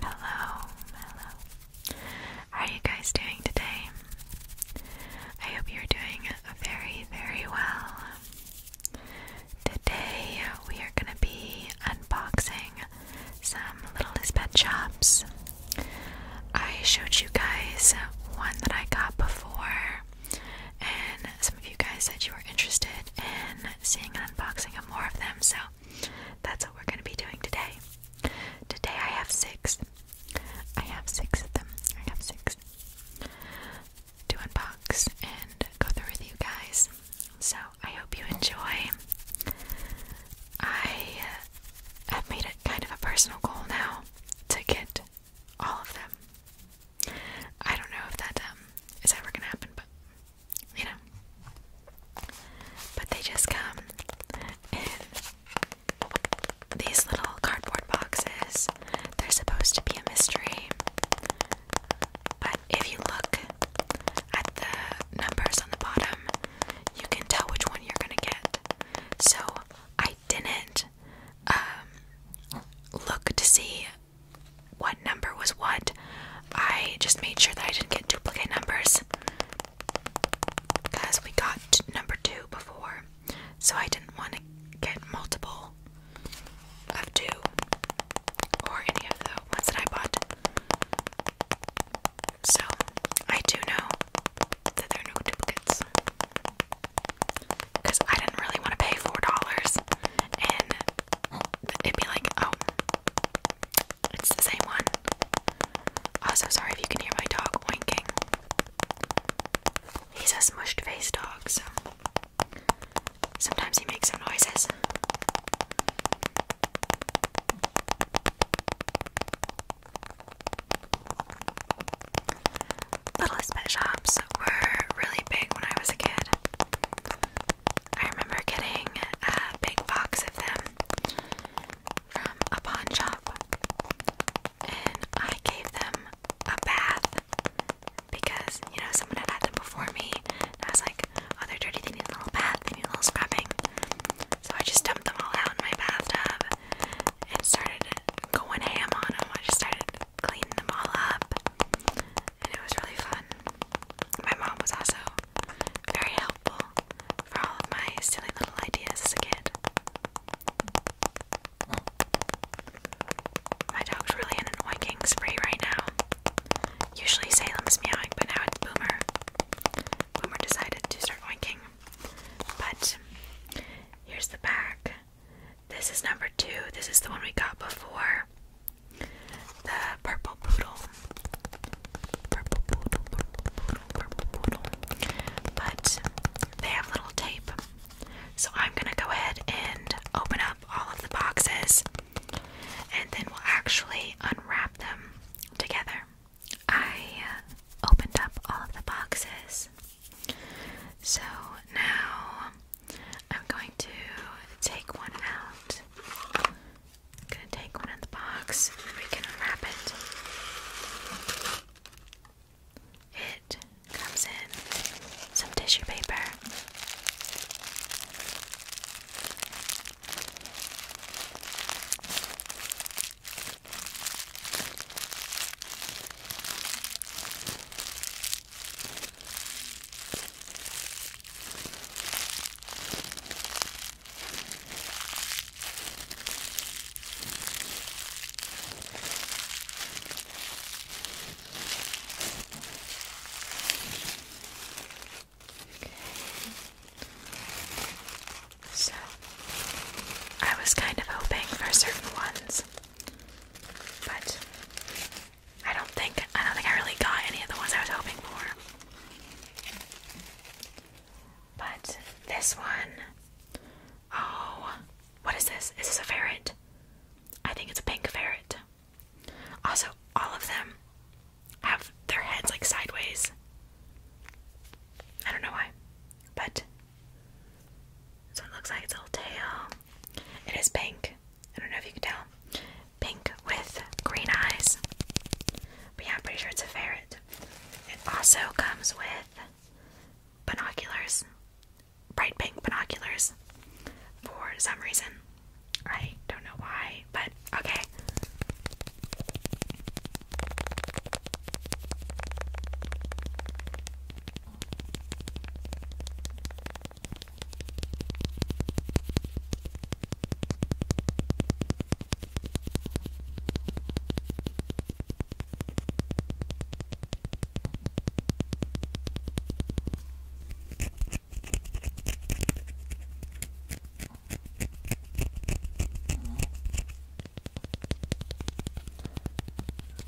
Hello, hello. How are you guys doing today? I hope you're doing very, very well. Today we are going to be unboxing some Littlest Pet Shops. I showed you guys one that I got before, and some of you guys said you were interested in seeing and unboxing of more of them, so that's what we're going to be doing today. Today I have six. I have six of them. I have six to unbox and go through with you guys. So I hope you enjoy. I have uh, made it kind of a personal goal now to get all of them. I don't know if that um, is ever going to happen, but you know. But they just come in these little cardboard boxes. They're supposed to be a mystery. But if you look at the numbers on the bottom, you can tell which one you're gonna get. So I didn't um, look to see what number was what. I just made sure that I didn't get duplicate numbers because we got number two before, so I didn't want to get multiple of two or any of the ones that I bought. So I do know that there are no duplicates because I didn't really want to pay four dollars and it'd be like, oh, it's the same one. Also, sorry if you can hear my dog winking. He's a smushed face dog, so sometimes he makes some noises. Littlest pet shops were really big when I was a kid. I remember getting a big box of them from a pawn shop, and I gave them a bath because you know someone had had them before me. And I was like, "Oh, they're dirty. They need a little bath. They need a little scrubbing." So I just dumped them all out in my bathtub and started going ham on them. I just started cleaning them all up, and it was really fun. My mom was also very helpful for all of my silly little ideas as a kid. My dog's really in an spree right now. Usually Salem's meowing, but now it's Boomer. Boomer decided to start oinking. But here's the back. This is number two. This is the one we got before. The purple poodle. But they have little tape. So I'm gonna go ahead and open up all of the boxes and then we'll actually unwrap them together. I opened up all of the boxes. So now I'm going to take one out I'm gonna take one out the box we can unwrap it. It comes in some tissue paper. So, I was kind of hoping for certain ones, but I don't think I don't think I really got any of the ones I was hoping for. But this one, oh, what is this? Is this a ferret? I think it's a pink ferret. Also, all of them have their heads like sideways. I don't know why, but this one looks like its little tail. It is pink. I don't know if you can tell pink with green eyes. But yeah, I'm pretty sure it's a ferret. It also comes with binoculars, bright pink binoculars, for some reason. I don't know why, but okay.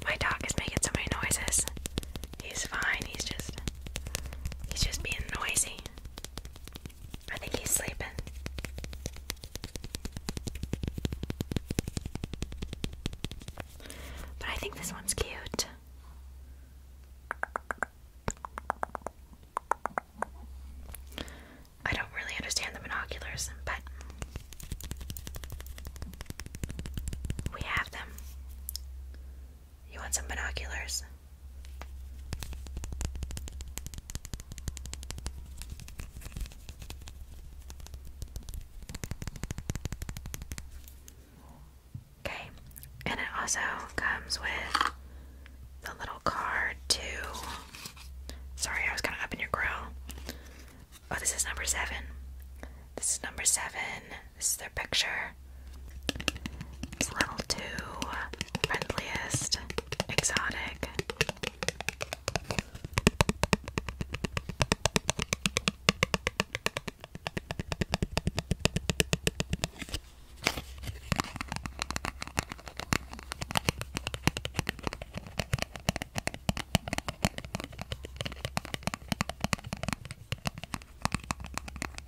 My dog is making so many noises. He's fine. He's just he's just being noisy. I think he's sleeping. But I think this one's cute. I don't really understand the binoculars, but we have them. You want some binoculars? Okay, and it also comes with the little card to. Sorry, I was kind of up in your grill. Oh, this is number seven. This is number seven. This is their picture. It's a little too friendliest, exotic.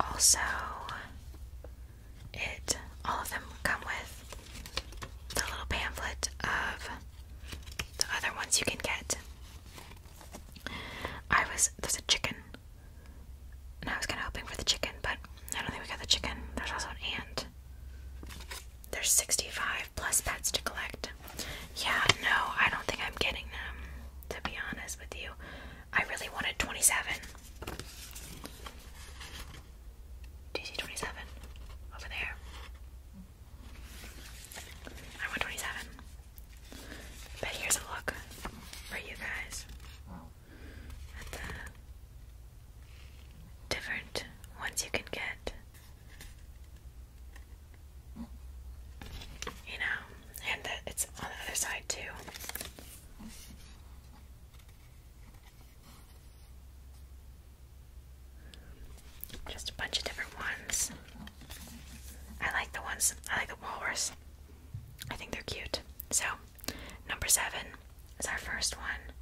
Also, it all of them come with the little pamphlet of the other ones you can get. I was there's a chicken, and I was kind of hoping for the chicken, but I don't think we got the chicken. There's also an ant. There's 65 plus pets to collect yeah, no, I don't think I'm getting them. To be honest with you, I really wanted 27. Do 27 over there? I want 27. But here's a look for you guys at the different ones you can get you know, and it's on the other side too. Just a bunch of different ones. I like the ones, I like the walrus. I think they're cute. So, number seven is our first one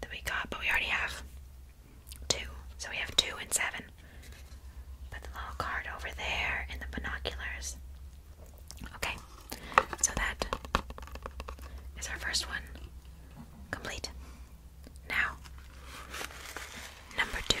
that we got, but we already have Two. So we have two and seven. Put the little card over there and the binoculars. Okay, so that is our first one complete. Now, number two.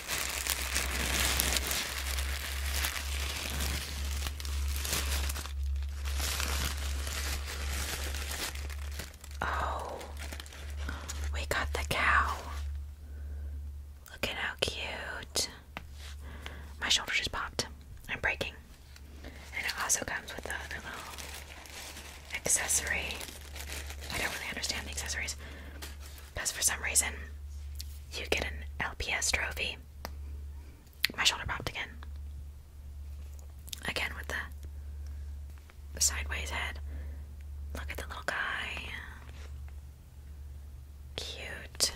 Oh, we got the cow. Look at how cute. My shoulder just popped. I'm breaking. And it also comes with a little accessory. I don't really understand the accessories. Because for some reason, you get an LPS trophy. My shoulder popped again. Again with the sideways head. Look at the little guy. Cute.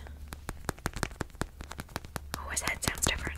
Oh, his head sounds different.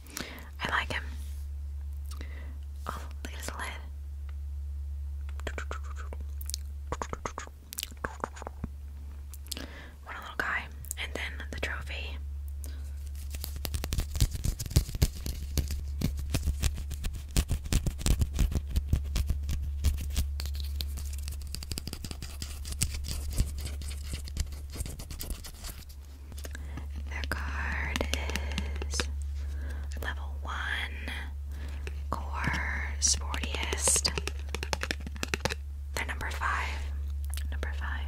I like him. Oh, look lid. What a little guy. And then the trophy. The card is level one, core, sportiest. They're number five. Number five.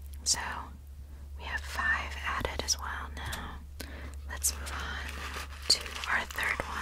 so we have five added as well now. Let's move on to our third one.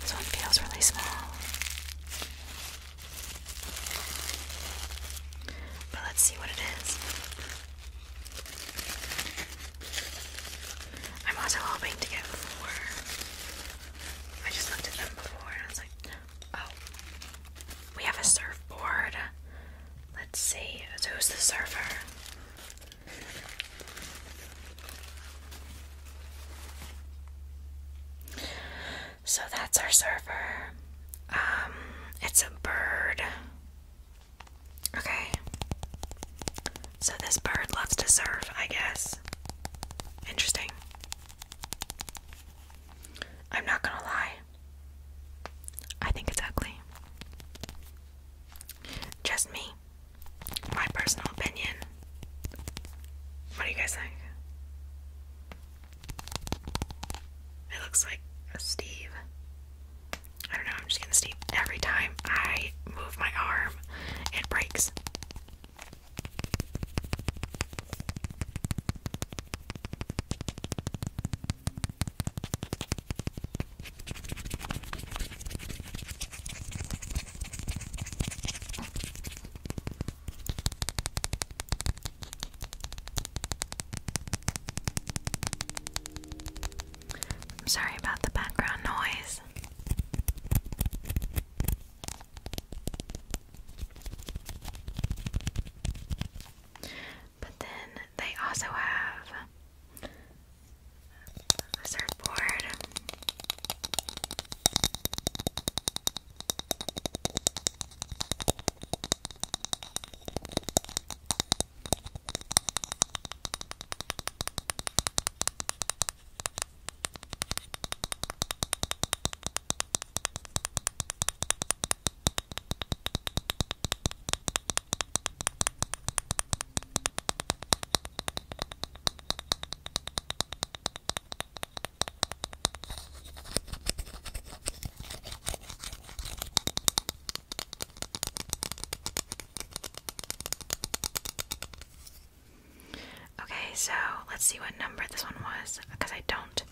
This one feels really small. But let's see what it is. I'm also hoping to get four. I just looked at them before and I was like, oh, we have a surfboard, Let's see. who's the server? So that's our server. Um, it's a bird. Okay. So this bird loves to serve, I guess. Interesting. I'm not gonna lie. I think it's ugly. Just me. My personal opinion. What do you guys think? It looks like a Steve. I don't know, I'm just gonna Steve. Every time I move my arm, it breaks. I'm sorry about the background noise. But then they also have a surfboard. Okay, so let's see what number this one was, because I don't,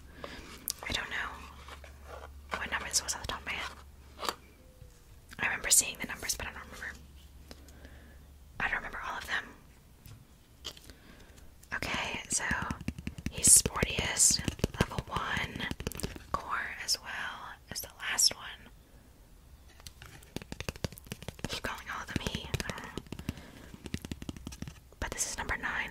I don't know what number this was off the top of I remember seeing the numbers, but I don't remember. I don't remember all of them. Okay, so he's sportiest, level one, core as well as the last one. Keep calling all of them he. but this is number nine.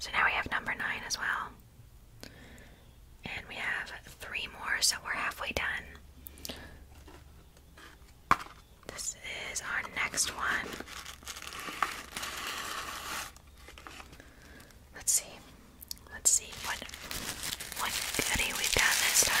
So now we have number nine as well. And we have three more, so we're halfway done. This is our next one. Let's see. Let's see what what goodie we've got this time.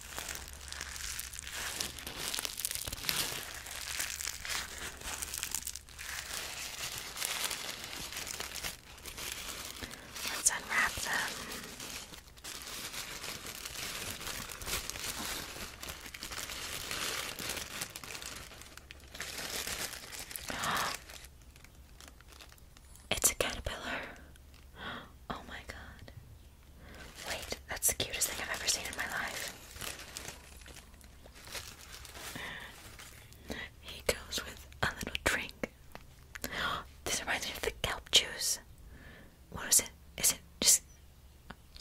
Let's unwrap them. It's a caterpillar. Oh my god. Wait, that's the cutest thing I've ever seen in my life. He goes with a little drink. This reminds me of the kelp juice. What is it? Is it just.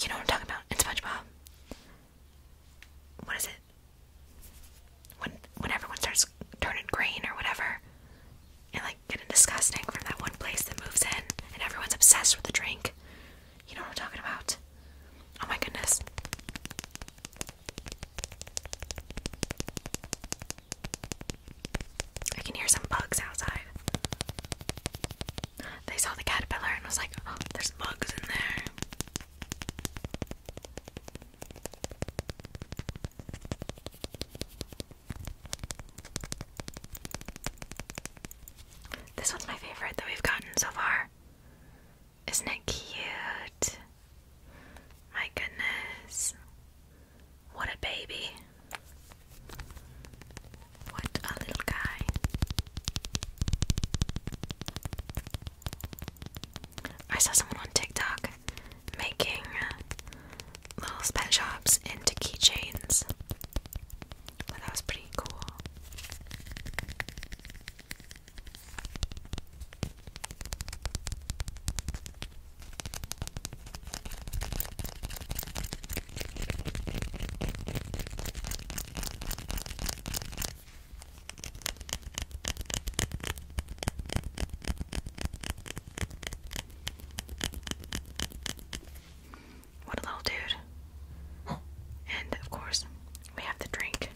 You know what I'm talking about? It's SpongeBob. What is it? When when everyone starts turning green or whatever, and like getting disgusting from that one place that moves in and everyone's obsessed with the drink. You know what I'm talking about? Oh my goodness. I can hear some bugs outside. They saw the caterpillar and was like, oh, there's bugs in there. This one's my favorite that we've gotten so far. Isn't it cute? My goodness. What a baby. What a little guy. I saw someone on TikTok making little pet shops into keychains. But that was pretty cool. What a little dude. And of course, we have the drink.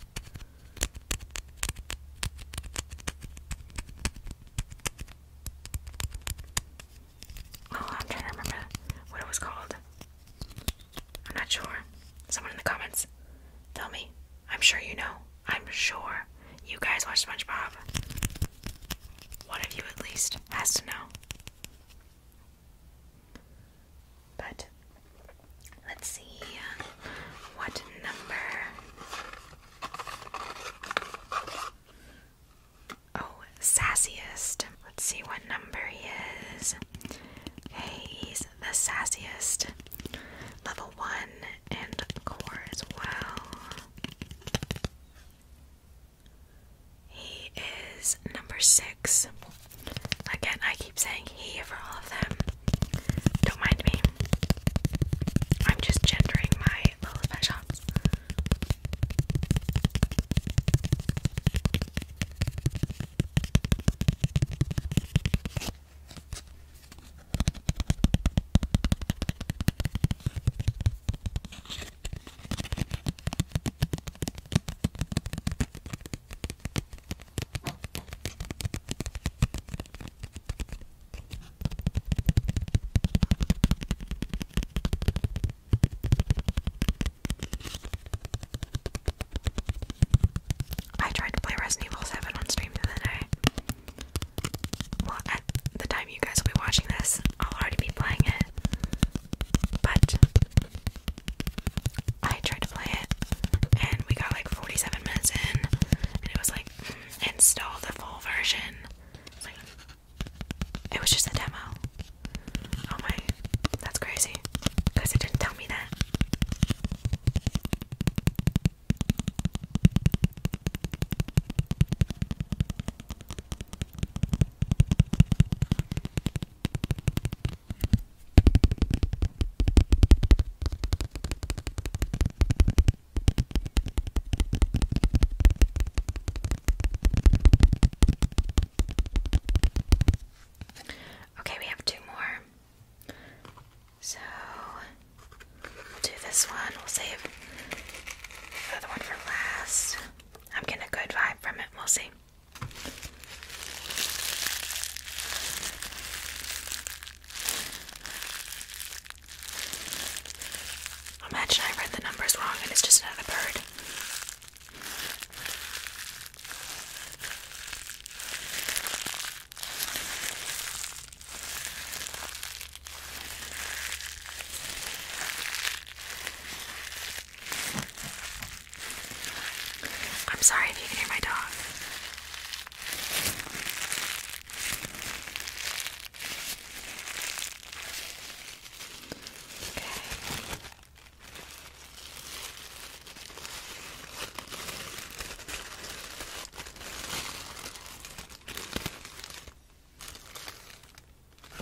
Oh, I'm trying to remember what it was called. I'm not sure. Someone in the comments, tell me. I'm sure you know. I'm sure you guys watch SpongeBob. One of you, at least, has to know. But let's see uh, what number. Oh, sassiest. Let's see what number he is. Okay, he's the sassiest. Level 1 and core as well. He is number six. Again, I keep saying he for all of them. Don't mind me. I'm just gendering my Lilith shots. I tried to play Resident Evil 7 on stream the other night. Well, at the time you guys will be watching this, I'll already be playing it. But I tried to play it, and we got like 47 minutes in, and it was like, install the full version. it was just a demo. Oh my, that's crazy. Because it didn't tell me that. Okay, we have two more. So we'll do this one. We'll save the one for last. I'm getting a good vibe from it. We'll see. Imagine I read the numbers wrong and it's just another bird. I'm sorry if you can hear my dog. Okay.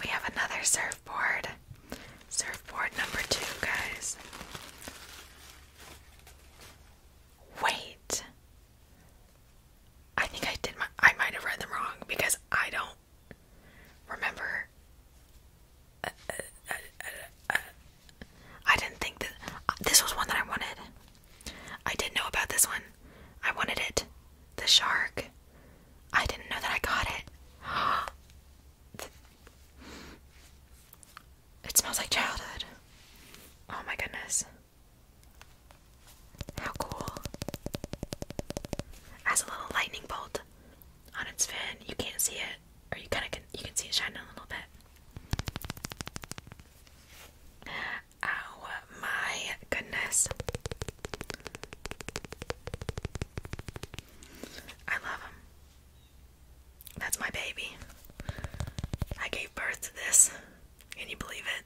We have another surfboard. Surfboard number two, guys. Wait. I think I did my I might have read them wrong because I don't remember I didn't think that this was one that I wanted. I did not know about this one. I wanted it. The shark. I didn't know that I got it. It smells like childhood. Oh my goodness. How cool. Has a little lightning bolt on its fin. You can't see it. Or you kinda can you can see it shining a little bit. Ow my goodness. I love him. That's my baby. I gave birth to this. Can you believe it?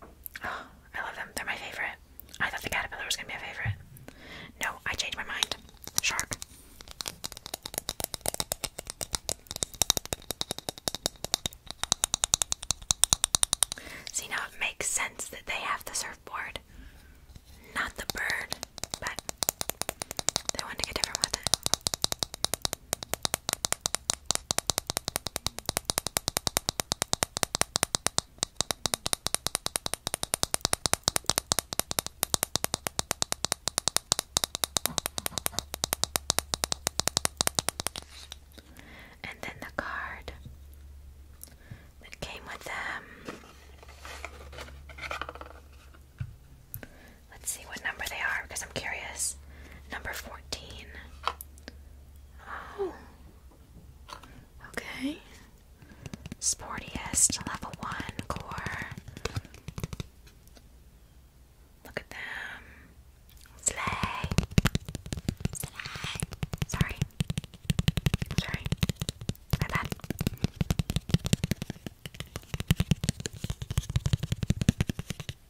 I love them. They're my favorite. I thought the caterpillar was gonna be my favorite. No, I changed my mind. Shark. See now it makes sense that they have the surfboard. Not the bird, but they wanted to get different with it. And then the card that came with them. Let's see what number they are because I'm curious. Number 14. Oh. Okay. Sportiest level one core. Look at them. Slay. Slay. Sorry. Sorry. My bad.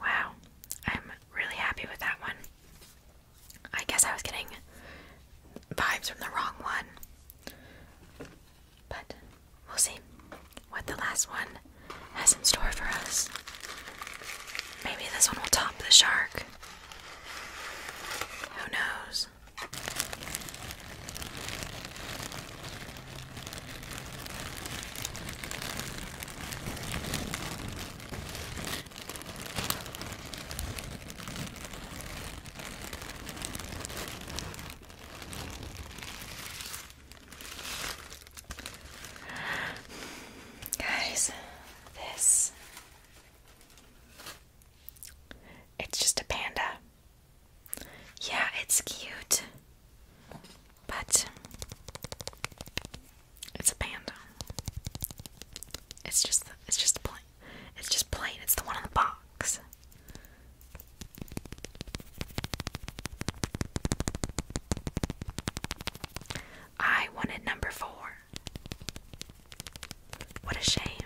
Wow, I'm really happy with that one. I guess I was getting vibes from the wrong one. But we'll see what the last one has in store for us. Maybe this one will top the shark. Who knows? Guys, this it's just a panda. Yeah, it's cute. But it's a panda. It's just it's just plain. It's just plain. It's the one on the box. I wanted number 4. What a shame.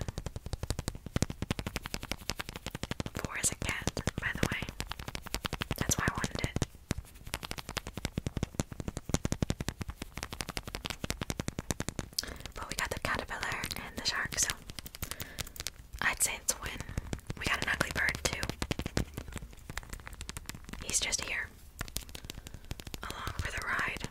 Four is a cat, by the way. That's why I wanted it. But we got the caterpillar and the shark, so I'd say it's a win. We got an ugly bird, too. He's just here along for the ride.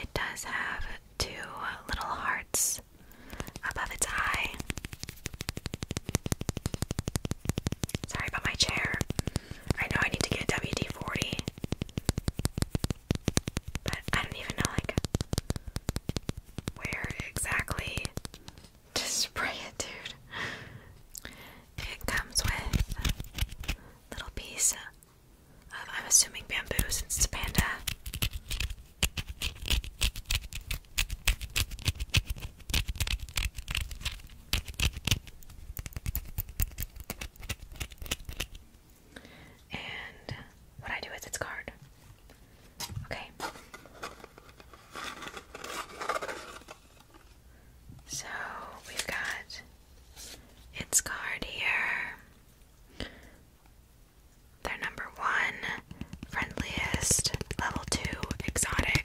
It does have two little hearts above its eye. Sorry about my chair. I know I need to get WD 40. But I don't even know like where exactly to spray it, dude. It comes with little piece of I'm assuming bamboo since it's a panda. And what I do is its card. Okay. So we've got its card here. They're number one, friendliest, level two, exotic.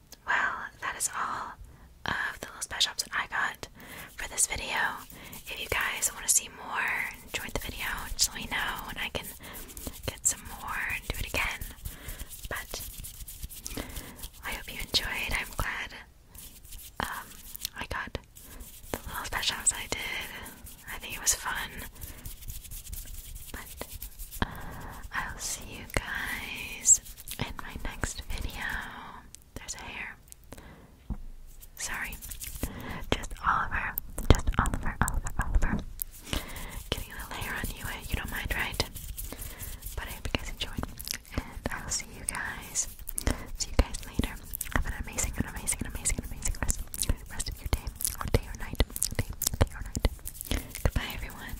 well, that is all of the little special shops that I got for this video. If you guys want to see more, enjoyed the video, just let me know and I can get some more and do it again. But I hope you enjoyed. I'm glad um, I got the little special shops I did. I think it was fun. But uh, I'll see you guys in my next video. There's a hair. Sorry. Just Oliver. Just Oliver, Oliver, Oliver. Getting a little on you, eh? You don't mind, right? But I hope you guys enjoyed. And I'll see you guys. See you guys later. Have an amazing, an amazing, an amazing, an amazing rest, rest of your day. day or night. Day, day or night. Goodbye, everyone.